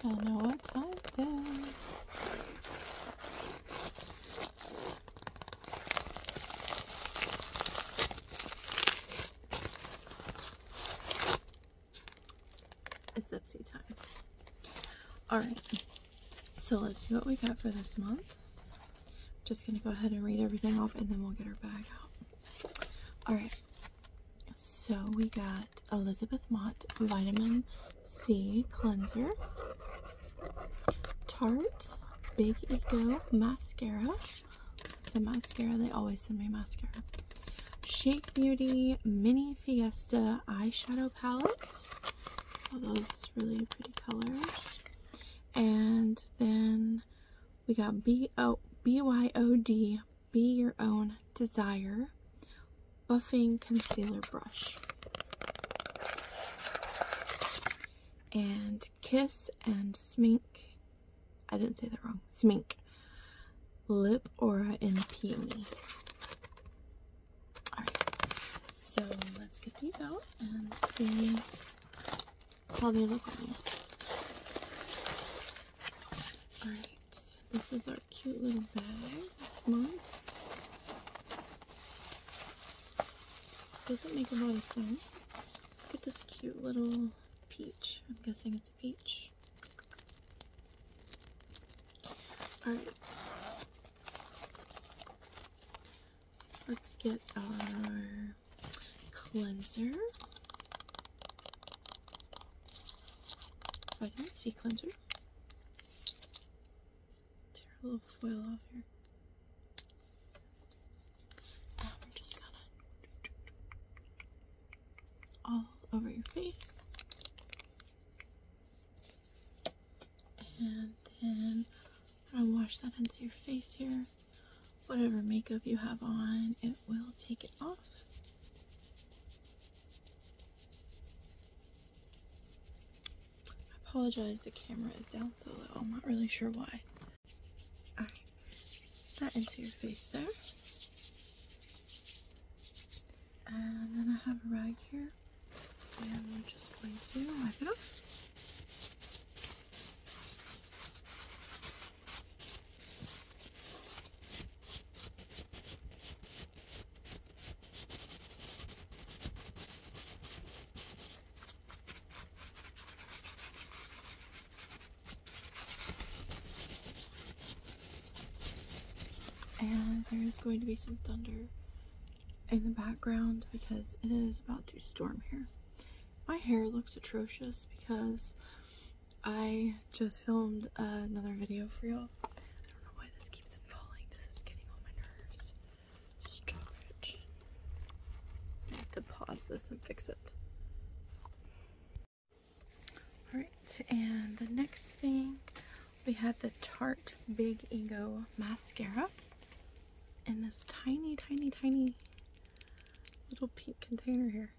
I don't know what time it is. It's Zipsy time. Alright, so let's see what we got for this month. just going to go ahead and read everything off and then we'll get our bag out. All right. So we got Elizabeth Mott Vitamin C Cleanser, Tarte Big Eco Mascara. It's mascara. They always send me mascara. Shake Beauty Mini Fiesta Eyeshadow Palette. All those really pretty colors. And then we got B O B Y O D Be Your Own Desire Buffing Concealer Brush. And Kiss and Smink. I didn't say that wrong. Smink. Lip Aura and Peony. Alright, so let's get these out and see Call me, look at me. Alright, this is our cute little bag this month. Doesn't make a lot of sense. Look at this cute little peach. I'm guessing it's a peach. Alright. Let's get our cleanser, vitamin C cleanser. Tear a little foil off here. we're um, just gonna all over your face. And then I wash that into your face here whatever makeup you have on, it will take it off. I apologize, the camera is down so I'm not really sure why. Alright, that into your face there. And then I have a rag here. And I'm just going to wipe it off. And there's going to be some thunder in the background because it is about to storm here. My hair looks atrocious because I just filmed another video for y'all. I don't know why this keeps falling. This is getting on my nerves. Stop it. I have to pause this and fix it. Alright, and the next thing we had the Tarte Big Ego Mascara in this tiny, tiny, tiny little pink container here.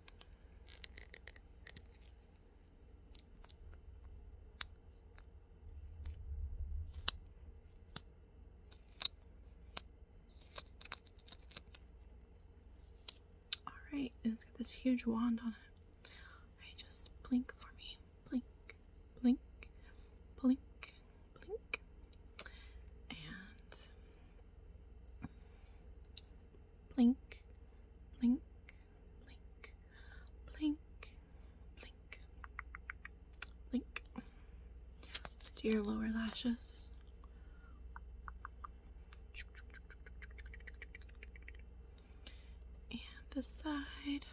Alright, and it's got this huge wand on it. Alright, just blink for me. Blink blink, blink, blink, and blink, blink, blink, blink, blink, blink to your lower lashes. And this side.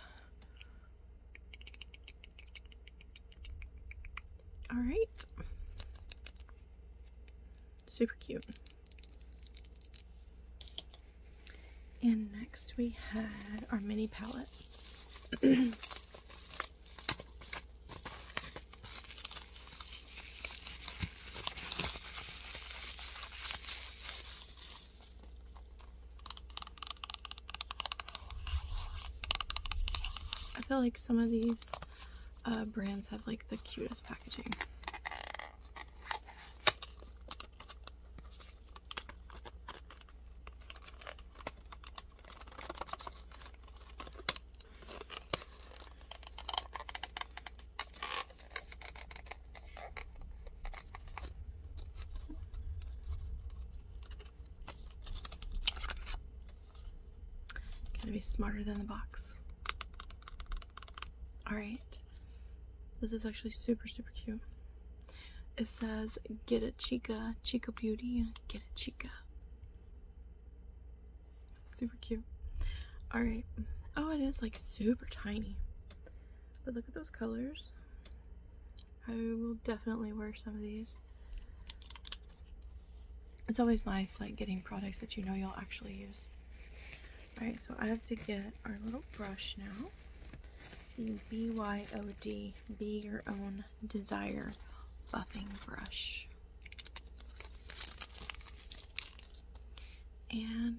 All right. Super cute. And next we had our mini palette. I feel like some of these uh, brands have like the cutest packaging. Gotta be smarter than the box. Alright. This is actually super, super cute. It says, Get a Chica. Chica Beauty. Get a Chica. Super cute. Alright. Oh, it is like super tiny. But look at those colors. I will definitely wear some of these. It's always nice like getting products that you know you'll actually use. Alright, so I have to get our little brush now. The BYOD, Be Your Own Desire Buffing Brush. And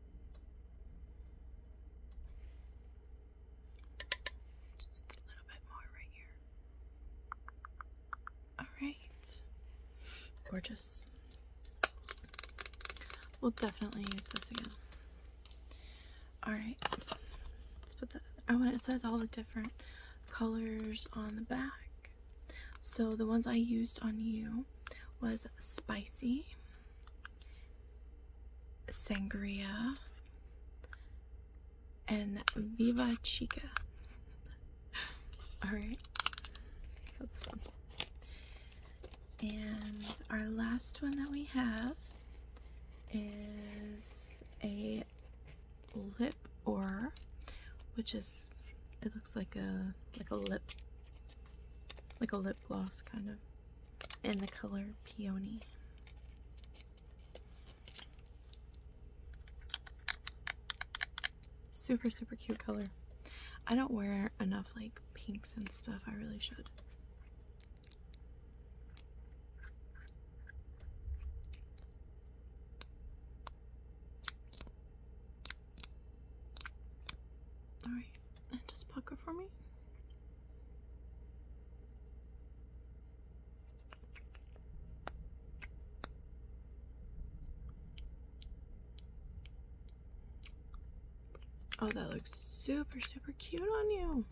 just a little bit more right here. Alright. Gorgeous. We'll definitely use this again. Alright. Let's put that. Oh, and it says all the different colors on the back. So the ones I used on you was spicy, sangria, and viva chica. Alright, that's fun. And our last one that we have is a lip or which is it looks like a like a lip like a lip gloss kind of in the color peony super super cute color I don't wear enough like pinks and stuff I really should Alright, and just pucker for me. Oh, that looks super, super cute on you.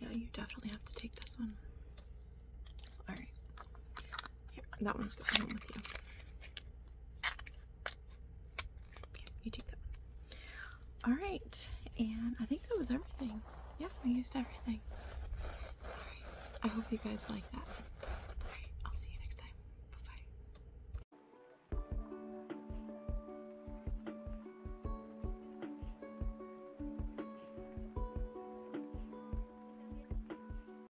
Yeah, you definitely have to take this one. Alright that one's going home with you. you take that Alright, and I think that was everything. Yeah, we used everything. I hope you guys like that. I'll see you next time. bye